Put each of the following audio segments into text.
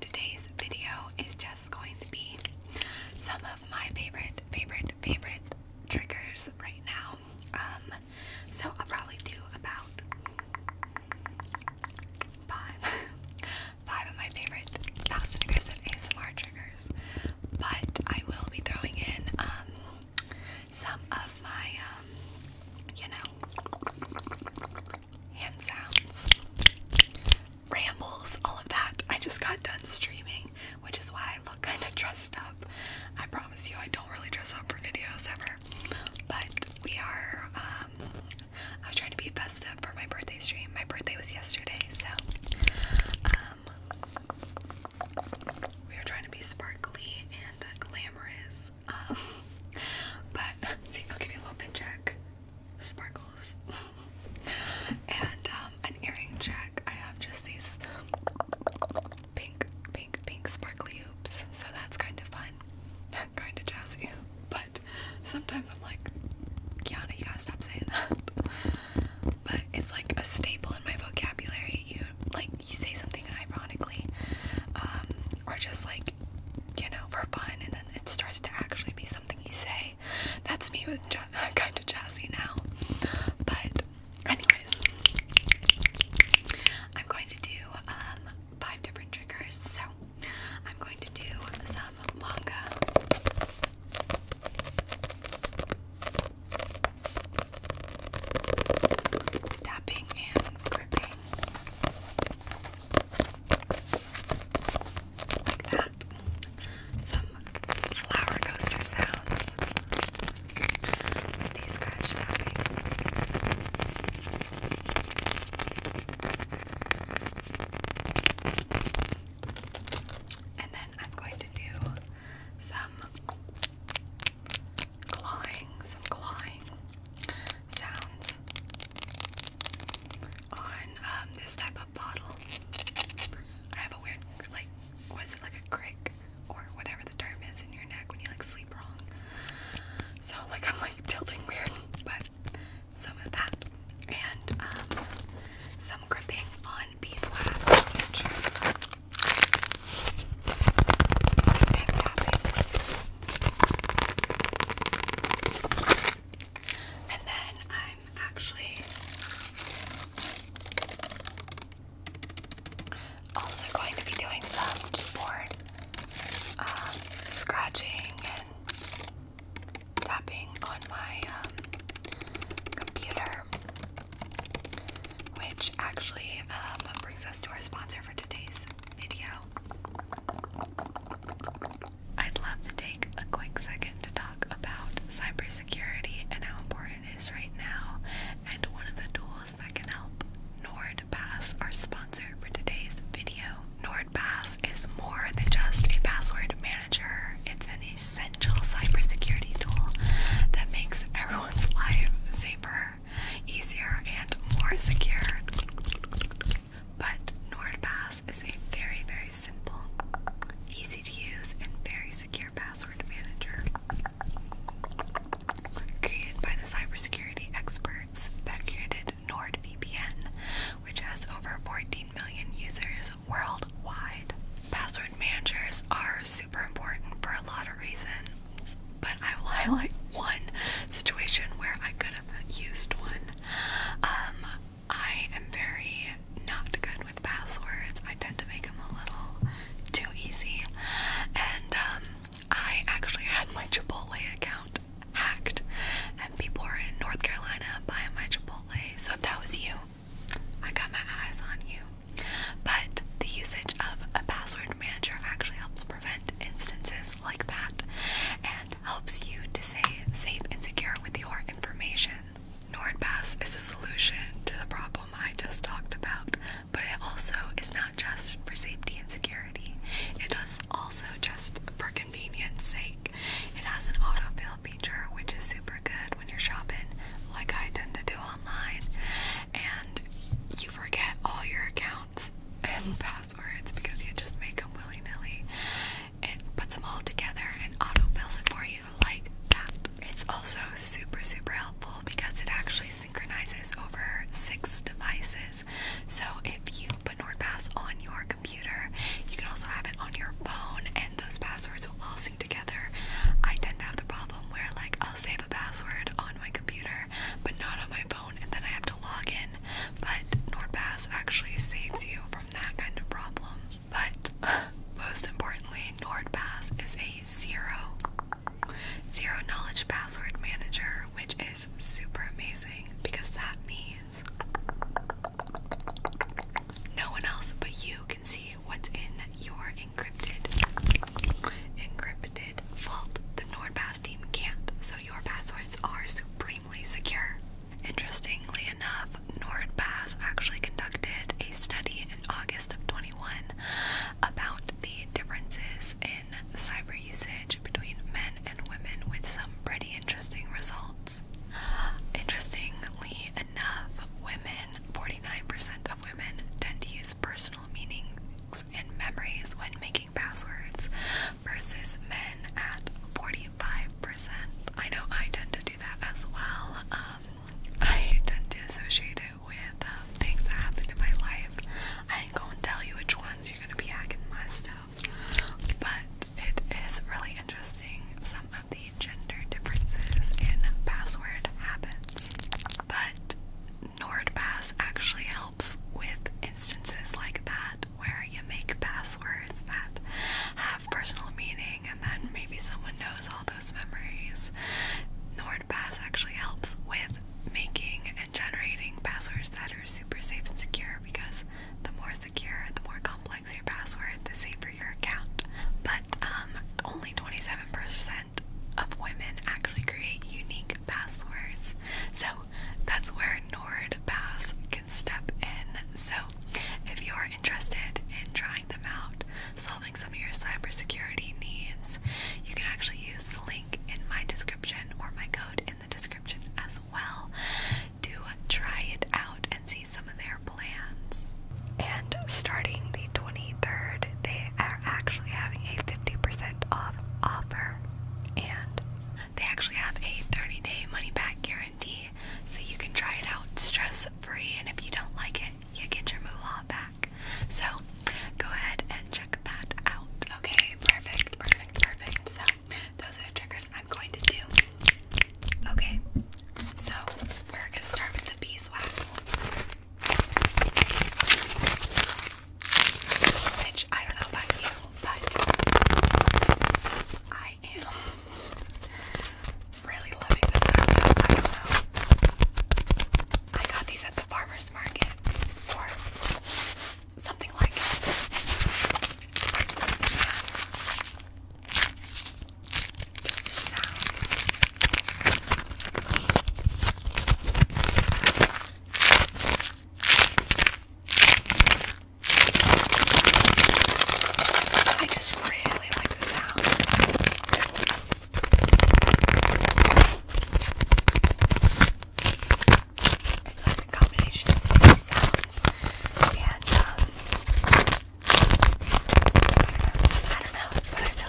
Today's video is just going to be some of my favorite, favorite, favorite triggers right now. Um, so I'll probably do about five, five of my favorite fast triggers and ASMR triggers, but I will be throwing in um, some of my, um, you know, hand sounds, rambles, all of that. I just got done streaming, which is why I look kind of dressed up. I promise you, I don't really dress up for videos ever. But we are, um, I was trying to be festive for my birthday stream. My birthday was yesterday, so, um, we are trying to be sparkly and glamorous um, but see, I'll give you a little bit check. Sparkles. and um, an earring check. I have just these pink, pink, pink sparkly oops. So that's kind of fun. kind of jazzy. But sometimes I'm like, Kiana, you gotta stop saying that. But it's like a staple in my vocabulary. You like you say something ironically, um, or just like you know, for fun, and then it starts to actually be something you say. That's me with ja kind of jazzy now. But, anyways, I'm going to do um, five different triggers. So, I'm going to do some manga. Tapping and gripping. Like that. Some flower coaster sounds. These scratch tapping. And then I'm going to do some clawing, some clawing sounds on um, this type of bottle. I have a weird, like, was it like a crick or whatever the term is in your neck when you like sleep wrong? So, like, I'm like tilting weird, but some of that and um, some gripping on beeswax, and then I'm actually also going to be doing some keyboard um, scratching and tapping on my um, computer, which actually um, brings us to our sponsor for today's video. I'd love to take a quick second to talk about cybersecurity and how important it is right now, and one of the tools that can help. NordPass, our sponsor for today's video. NordPass is more than just a password manager, it's an essential cybersecurity tool that makes everyone's life safer easier, and more secure. But NordPass is a very, very simple, easy to use, and very secure password manager created by the cybersecurity experts that created NordVPN, which has over 14 million users worldwide. Password managers are super important for a lot of reasons but I will highlight one situation where I could have used one. Um, I am very not good with passwords. I tend to make them a little too easy, and um, I actually had my Chipotle account hacked, and people are in North Carolina buying my Chipotle. So if that was you, I got my eyes on you. But the usage of a password manager actually helps prevent instances like that and helps you to stay safe and secure with your information. NordPass is a solution to the problem I just talked about, but it also is not just for safety and security. It It is also just for convenience sake. It has an autofill feature which is super good when you're shopping like I tend to do online and you forget all your accounts and passwords because you just make them willy nilly and puts them all together and autofills it for you like that. It's also super, super helpful because it actually synchronizes over six devices. So if you put NordPass on your computer, you can also have it on your phone and those passwords will all sync together. I tend to have the problem where like I'll save a password on my computer but not on my and then I have to log in. But NordPass actually saves you from that kind of problem. But most importantly, NordPass is a zero zero knowledge password manager, which is super amazing because that means no one else but you can see what's in your encrypted Encrypted fault. The NordPass team can't, so your passwords are supremely secure. Interestingly enough, NordPass actually conducted a study in August of 21 about the differences in cyber usage between men and women with some pretty interesting results. Interestingly enough, women, 49% of women tend to use personal meanings and memories when making passwords versus men at 45%. I know I tend to do that as well. Um, I tend to associate it with um, things that happened in my life. I ain't gonna tell you which ones you're gonna be hacking my stuff, but it is really interesting some of the gender differences in password habits. But NordPass actually helps with instances like that where you make passwords that have personal meaning and then maybe someone knows all those memories. NordPass actually helps with making and generating passwords that are super safe and secure because the more secure, the more complex your password, the safer your account. But um, only 27% of women actually create unique passwords. So that's where NordPass can step in. So if you're interested in trying them out, solving some of your cybersecurity needs, you can actually use the link in my description or my code in the description as well to try it out and see some of their plans. And starting the 23rd, day are actually having a 50% off offer and they actually have a 30 day money back guarantee so you can try it out stress free and if you don't like it you get your moolah back so go ahead and check that out okay perfect perfect perfect so those are the triggers I'm going to do okay so we're gonna start with the beeswax which I don't know about you, but I am really loving this I don't know. I got these at the farmer's market or something like it. Just the I just really like the sounds. It's like a combination of sounds and um I don't know,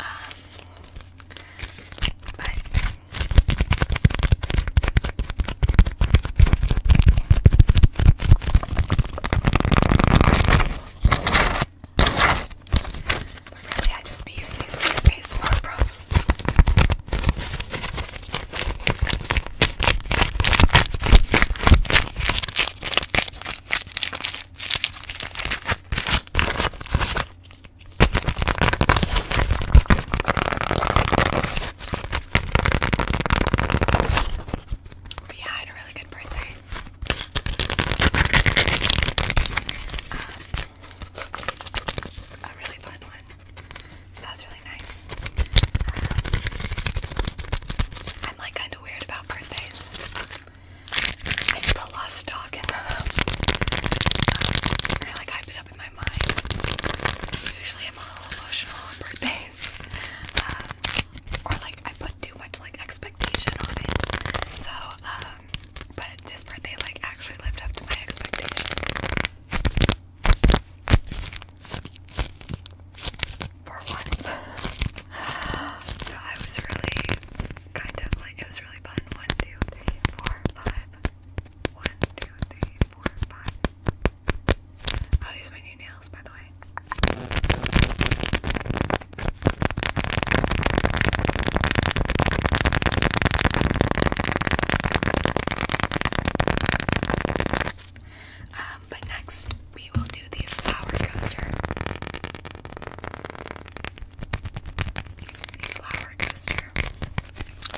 Um, but I just be using these weird ASMR but yeah, I had a really good birthday. Um, a really fun one. So that's really nice. Um, I'm like kind of weird about birthdays. I just put a lot of stock in them. like hype it up in my mind. Usually I'm a little emotional on birthdays. Um, or like I put too much like expectation on it. So, um, but this birthday like actually lived up to my expectation For once. so I was really kind of it was really fun. One, two, three, four, five. One, two, three, four, five. I'll oh, use nails, by the way. Um, but next we will the flower coaster. Flower coaster,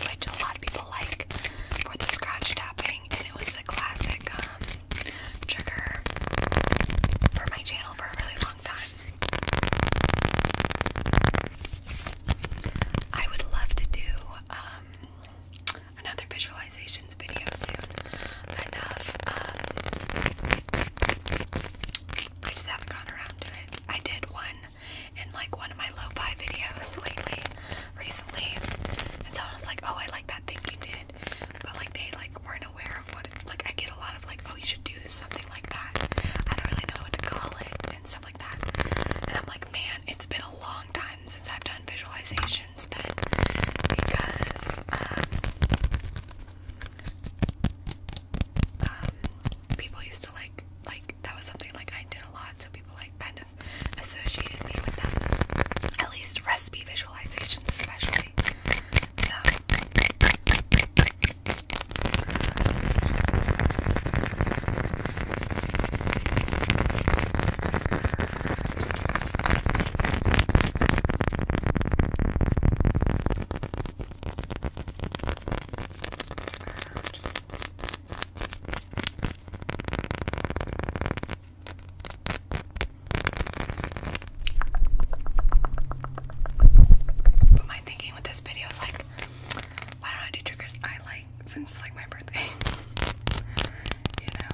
which a lot of people like for the scratch tapping, and it was a classic um, trigger for my channel for a really long time. I would love to do um, another visualizations video soon enough. Um, I just haven't gotten around to it. I did one in like one of my low fi videos lately, recently, and someone was like, "Oh, I like that thing you did," but like they like weren't aware of what. like I get a lot of like, "Oh, you should do something like that." I don't really know what to call it and stuff like that. And I'm like, man, it's been a long time since I've done visualizations then, because um, um, people used to like like that was something like I did a lot, so people like kind of associated me with that. At least recipe visualizations, especially. But my thinking with this video is like, why don't I do triggers I like since like my birthday? you know.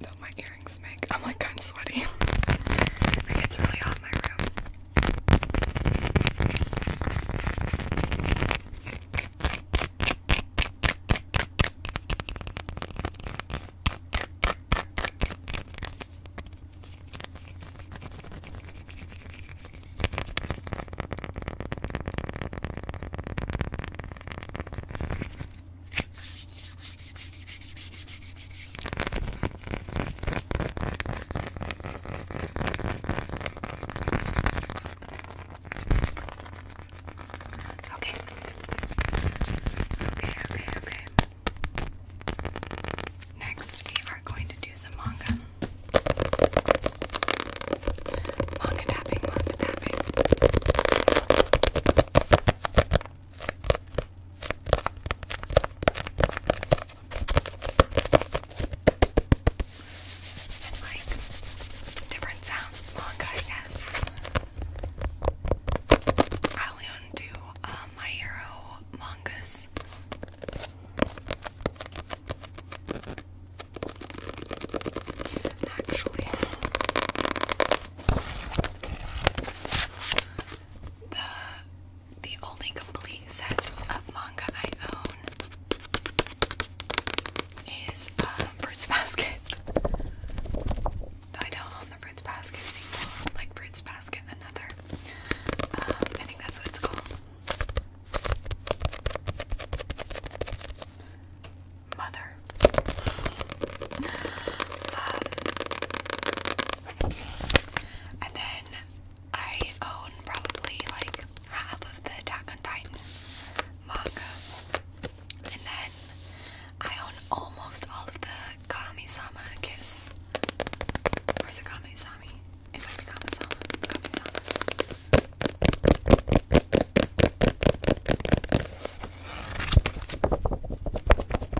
Though my ear I'm like kind of sweaty. it gets really hot in my room. Okay. Okay, okay, okay. Next, we are going to do some manga. Manga tapping, manga tapping different sounds of I only own uh, My Hero mangas. Actually, the the only complete set of manga I own is uh, Fruits Basket. I don't own the Fruits sequel, like Fruits another. Um, I think that's what it's called. Mother. Um, and then I own probably like half of the Attack on manga. And then I own almost all of the kami Kiss. Or is it Kami-sami? It might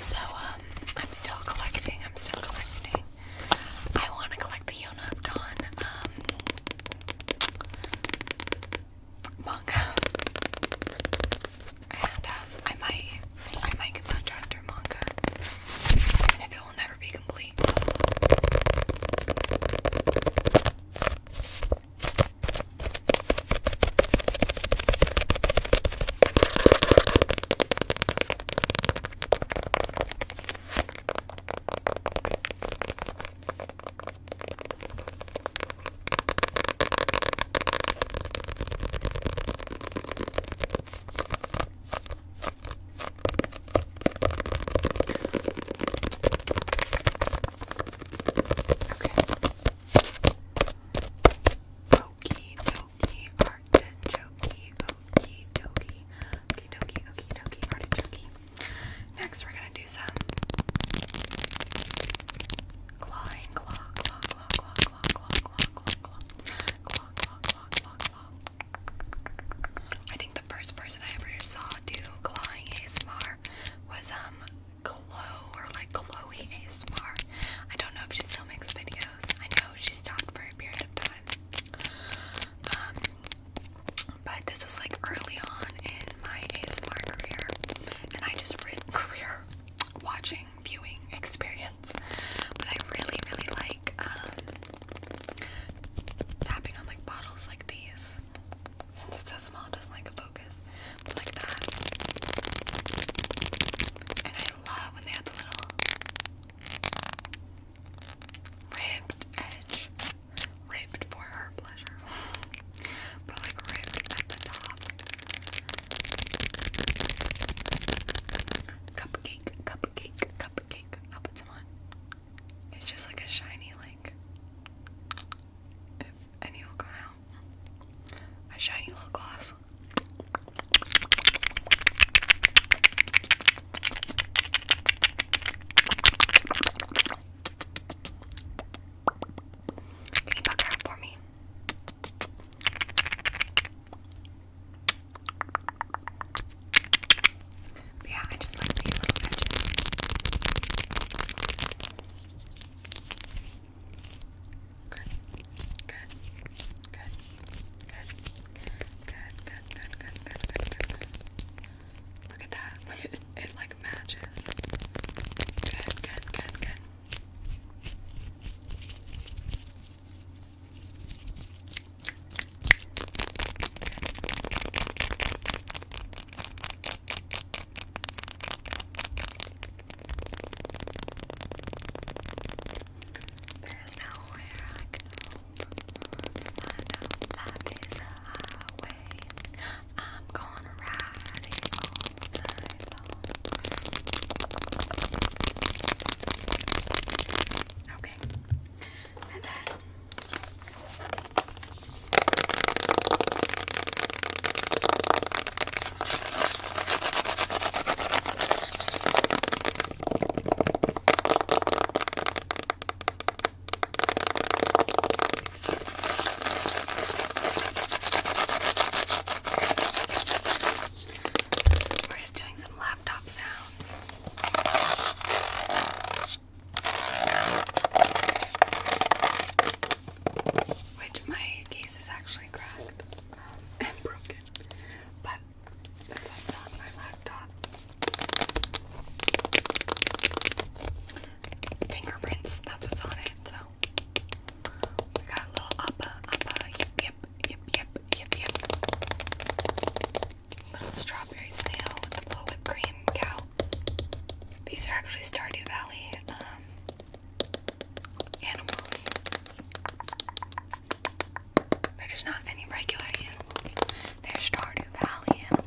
So, um, I'm still collecting, I'm still collecting. I want to collect the Yonopdon, um, manga. And, um, I might, I might get that chapter manga it will never be complete. Okie dokie, artichokey, okie dokie, okie dokie, okie dokie, artichokey. Next, we're gonna do some clawing, claw, claw, claw, claw, claw, claw, claw, claw, claw, claw, claw, claw, claw, the first person I ever saw do clawing ASMR was um Chloe or like Chloe ASMR. I don't know if she still makes videos. I know she stopped for a period of time. Um, but this was like early on in my ASMR career and I just read career watching, viewing experience. But I really, really like um, tapping on like bottles like these. Since it's so small, it doesn't like a focus. But like that. And I love when they have the little ribbed edge. Ribbed for her pleasure. but like ribbed at the top. Cupcake, cupcake, cupcake, cupcake. I'll put some on. It's just like a shiny, like, if any will a shiny little gloss. Can you buck up for me? But yeah, I just love these little edges. Good, good, good, good, good, good, good, good, good, good, good, good. Look at that. Look at it, it like matches. Good, good, good, good. There is nowhere I can hope. I life is a highway. I'm gonna ride it all night long. Okay. And then we're just doing some laptop sounds. Which my case is actually cracked and broken. But that's what's on my laptop. Fingerprints, that's what's on it. So we got a little uppa, uppa, yip, yip, yip, yip, yip. Little strawberry snail with a little whipped cream cow. These are actually Stardew Valley um, animals. They're just not any regular animals. They're Stardew Valley animals.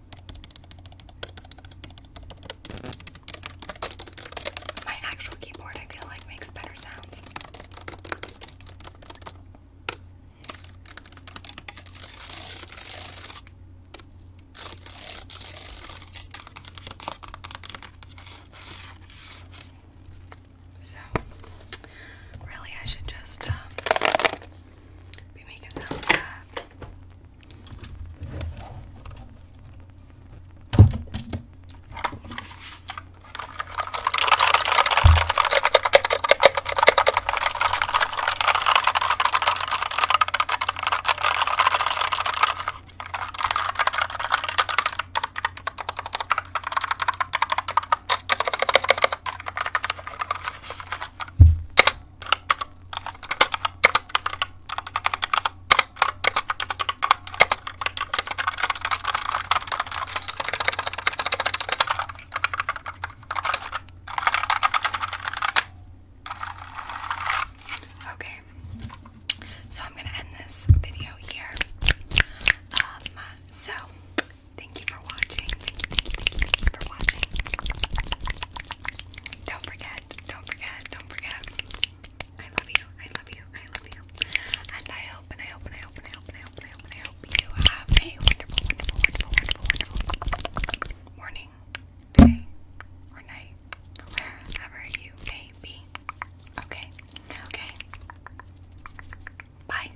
My actual keyboard, I feel like, makes better sounds. So, really, I should just um, be making sounds like that. Okay, so I'm gonna end this video here. Um, so Thank you for watching. Thank you, for watching. Don't forget, don't forget, don't forget. I love you, I love you, I love you. and I hope, and I hope, and I hope, and I hope, and I hope, and I hope you have a wonderful, wonderful, wonderful, wonderful, wonderful morning, day, or night, wherever you may be. Okay, okay. Bye.